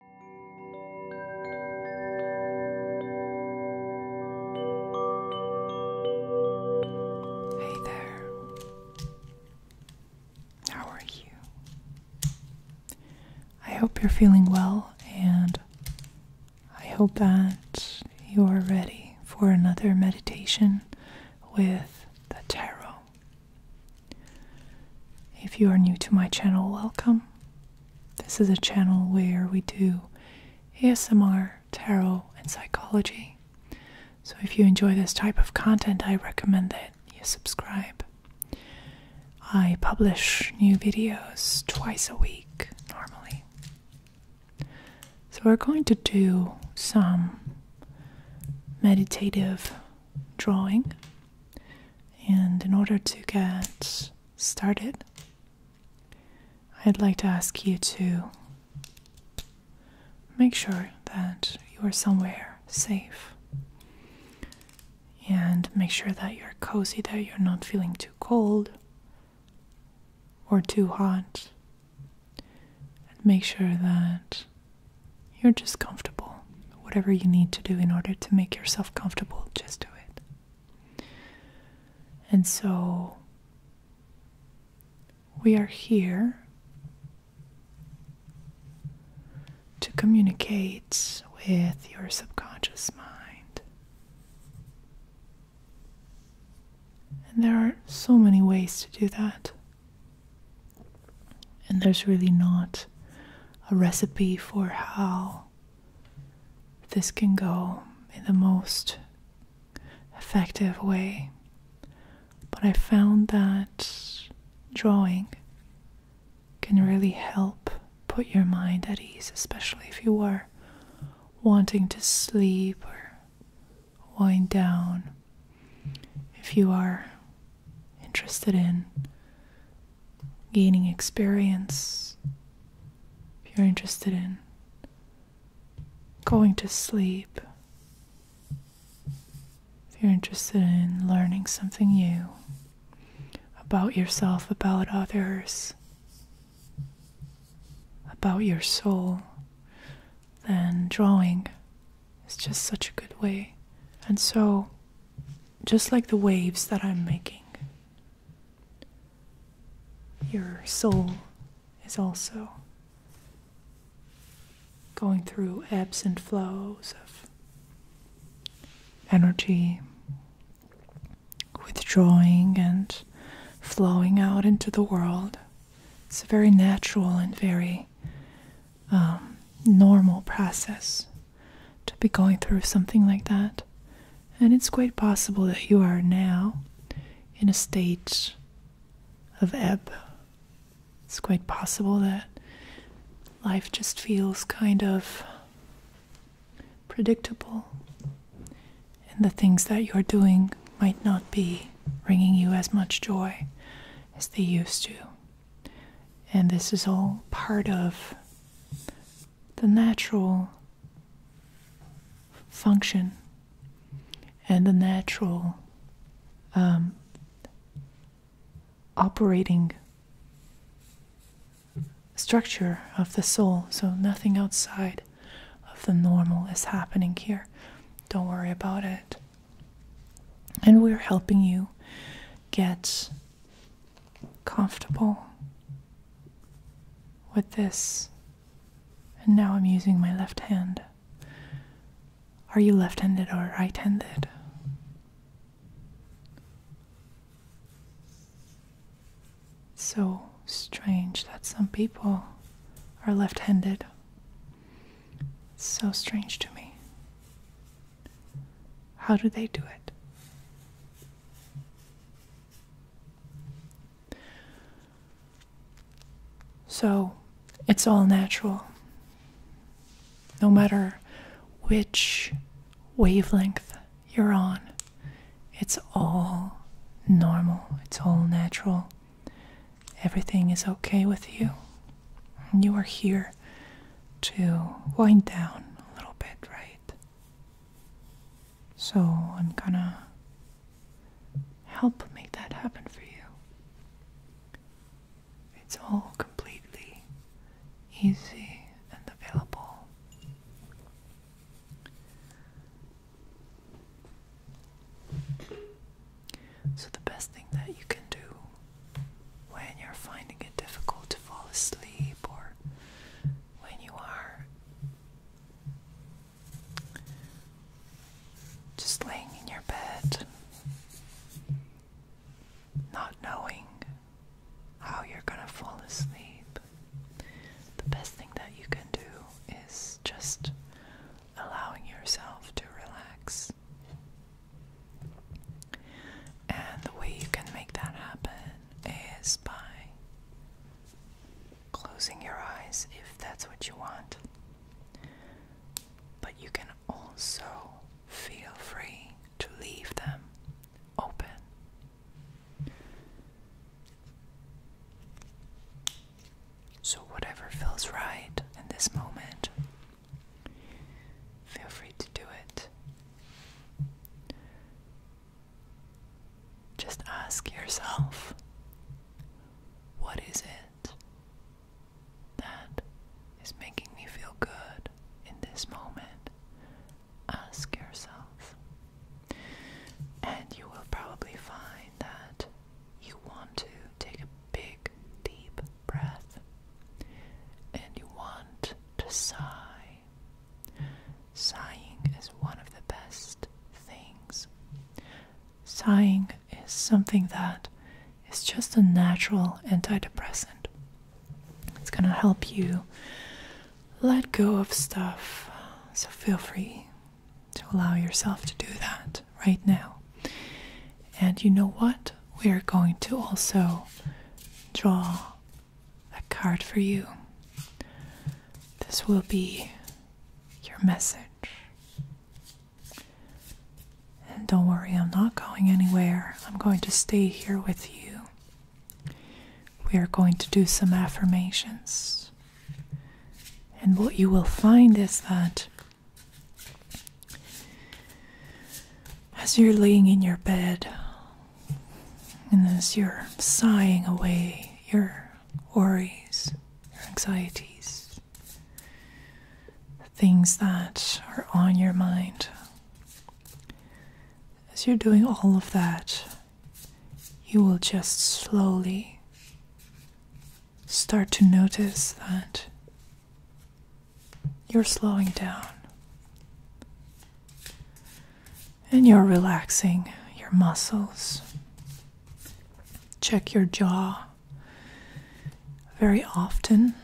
Hey there. How are you? I hope you're feeling well, and I hope that you are ready for another meditation with the tarot if you are new to my channel, welcome. This is a channel where we do ASMR, tarot, and psychology. So if you enjoy this type of content, I recommend that you subscribe. I publish new videos twice a week normally. So we're going to do some meditative drawing and in order to get started, I'd like to ask you to make sure that you are somewhere safe and make sure that you're cozy there, you're not feeling too cold or too hot. And make sure that you're just comfortable. Whatever you need to do in order to make yourself comfortable, just do it. And so we are here to communicate with your subconscious mind. And there are so many ways to do that. And there's really not a recipe for how this can go in the most effective way. But I found that drawing can really help put your mind at ease, especially if you are wanting to sleep or wind down if you are interested in gaining experience, if you're interested in going to sleep, if you're interested in learning something new about yourself, about others, about your soul, then drawing it's just such a good way. And so, just like the waves that I'm making, your soul is also going through ebbs and flows of energy, withdrawing and flowing out into the world. It's very natural and very um, normal process to be going through something like that. And it's quite possible that you are now in a state of ebb. It's quite possible that life just feels kind of predictable, and the things that you're doing might not be bringing you as much joy as they used to. And this is all part of the natural function and the natural um, operating structure of the soul. So nothing outside of the normal is happening here. Don't worry about it. And we're helping you get comfortable with this. And now I'm using my left hand. Are you left handed or right handed? So strange that some people are left handed. So strange to me. How do they do it? So it's all natural. No matter which wavelength you're on, it's all normal, it's all natural everything is okay with you. You are here to wind down a little bit, right? So I'm gonna help make that happen for you. It's all completely easy and available. So, the best thing that you can do when you're finding it difficult to fall asleep or when you are just laying in your bed, not knowing how you're gonna fall asleep, the best thing that you can do is just allowing yourself to relax. And the way you can make that happen is by closing your eyes if that's what you want. But you can also feel free to leave them open. So, whatever feels right in this moment, feel free to do it. Just ask yourself what is it that is making me feel good in this moment? Ask yourself, and you will probably find that you want to take a big, deep breath and you want to sigh. Sighing is one of the best things. Sighing is something that is just a natural antidepressant. It's going to help you let go of stuff, so feel free to allow yourself to do that right now. And you know what? We are going to also draw a card for you. This will be your message. And don't worry, I'm not going anywhere. I'm going to stay here with you. We are going to do some affirmations. And what you will find is that as you're laying in your bed, and as you're sighing away your worries, your anxieties, things that are on your mind, as you're doing all of that, you will just slowly start to notice that you're slowing down and you're relaxing your muscles. Check your jaw very often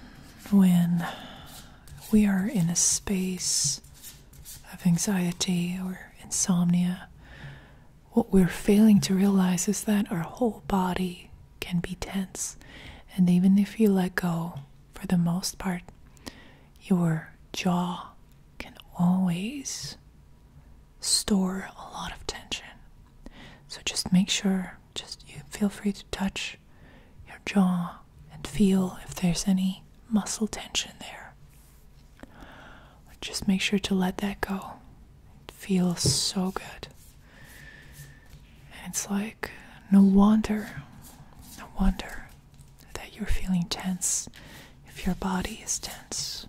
when we are in a space of anxiety or insomnia what we're failing to realize is that our whole body can be tense, and even if you let go, for the most part, your jaw can always store a lot of tension. So just make sure, just you feel free to touch your jaw and feel if there's any muscle tension there. Just make sure to let that go. It feels so good. And it's like, no wonder, no wonder that you're feeling tense if your body is tense.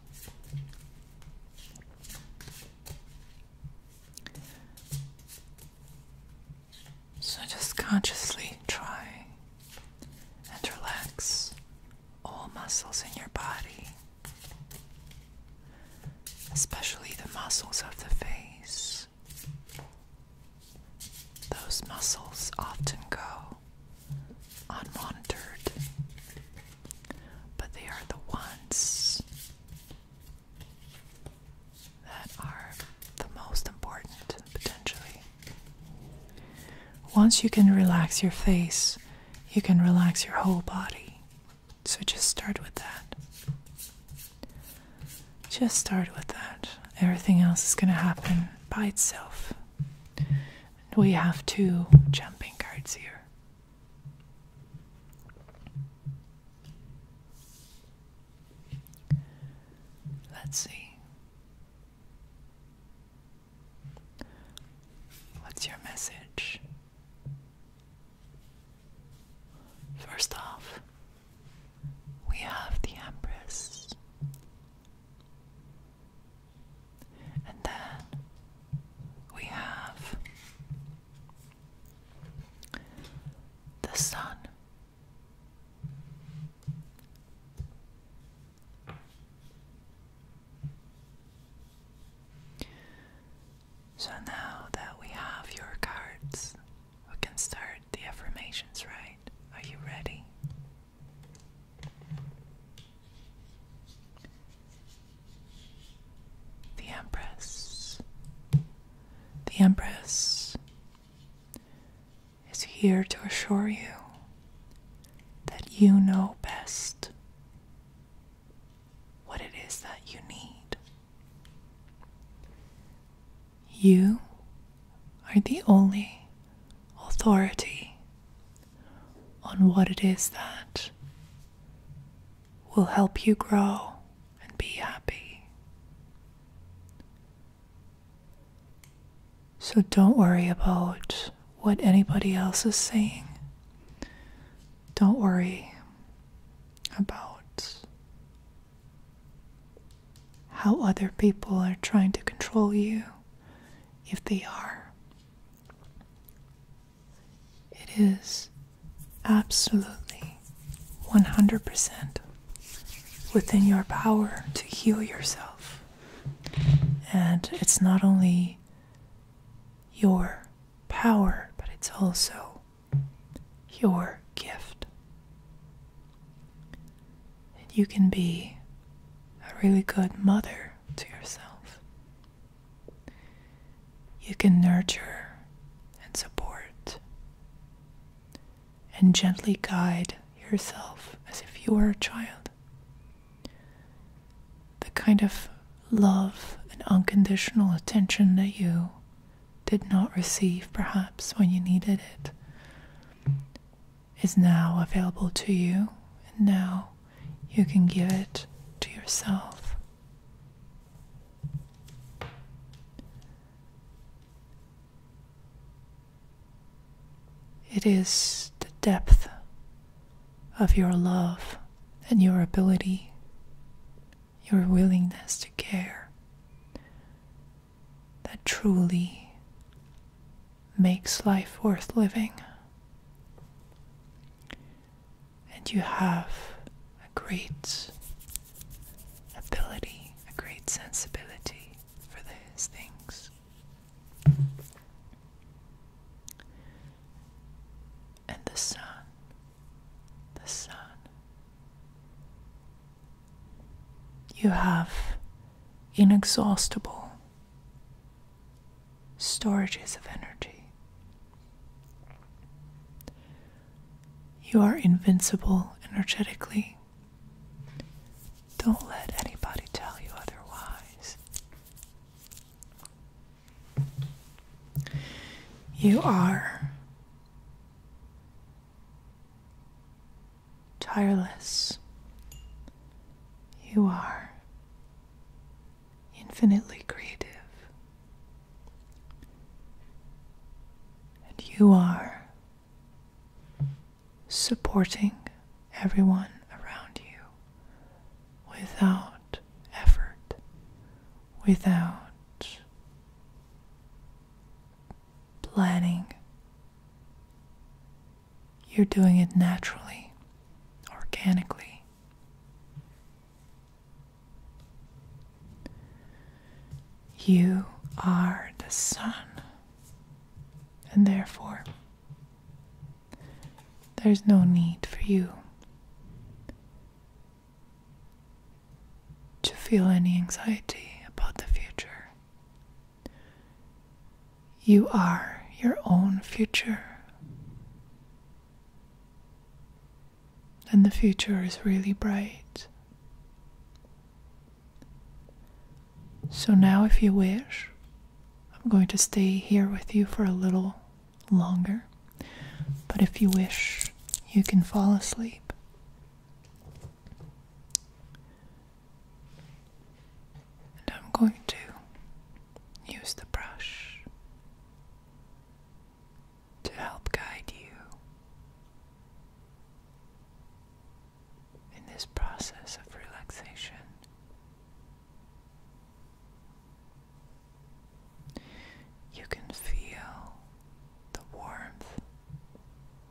So just consciously try and relax all muscles in your body, especially the muscles of the face. Those muscles often go unmonitored, but they are the ones that are the most important potentially. Once you can relax your face, you can relax your whole body. So just start with that. Just start with that. Everything else is going to happen by itself. We have two jumping cards here. Let's see. What's your message? First off, we have the Empress, and then we have the Sun. So now that we have your cards, we can start the affirmations, right? Are you ready? The Empress. The Empress is here to assure you that you know best what it is that you need. You are the only authority on what it is that will help you grow and be happy. So don't worry about what anybody else is saying. Don't worry about how other people are trying to control you if they are. It is absolutely 100% within your power to heal yourself. And it's not only your power, but it's also your gift. And you can be a really good mother to yourself. You can nurture and support and gently guide yourself as if you were a child. The kind of love and unconditional attention that you did not receive perhaps when you needed it is now available to you, and now you can give it to yourself. It is the depth of your love and your ability, your willingness to care that truly makes life worth living. And you have a great ability, a great sensibility for those things. And the sun, the sun. You have inexhaustible storages of energy. You are invincible energetically. Don't let anybody tell you otherwise. You are tireless. You are infinitely creative. And you are supporting everyone around you without effort, without planning. You're doing it naturally, organically. You are the sun. And therefore, there's no need for you to feel any anxiety about the future. You are your own future. And the future is really bright. So now, if you wish, I'm going to stay here with you for a little longer. But if you wish, you can fall asleep. And I'm going to use the brush to help guide you in this process of relaxation. You can feel the warmth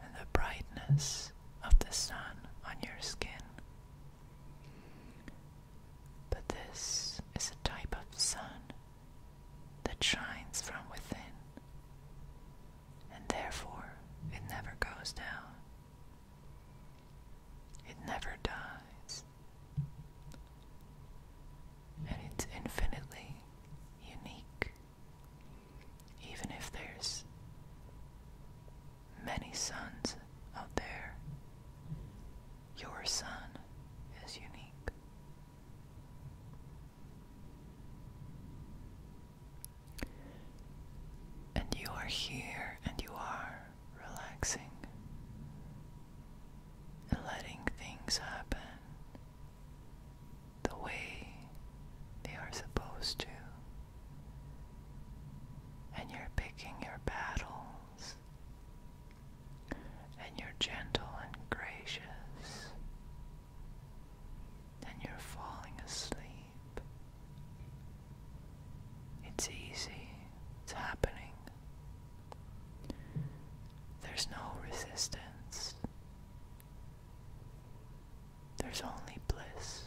and the brightness of the sun on your skin. But this is a type of sun that shines from within, and therefore it never goes down. It never dies, and it's infinitely unique, even if there's many suns out there. Your sun is unique. And you are here and you are relaxing and letting things happen the way they are supposed to. And you're picking your battles and you're gentle and gracious, and you're falling asleep. It's easy, it's happening. There's no resistance, there's only bliss.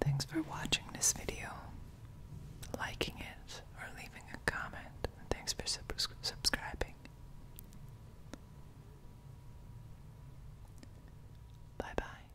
Thanks for watching this video, liking it, or leaving a comment, and thanks for subscribing. Bye bye.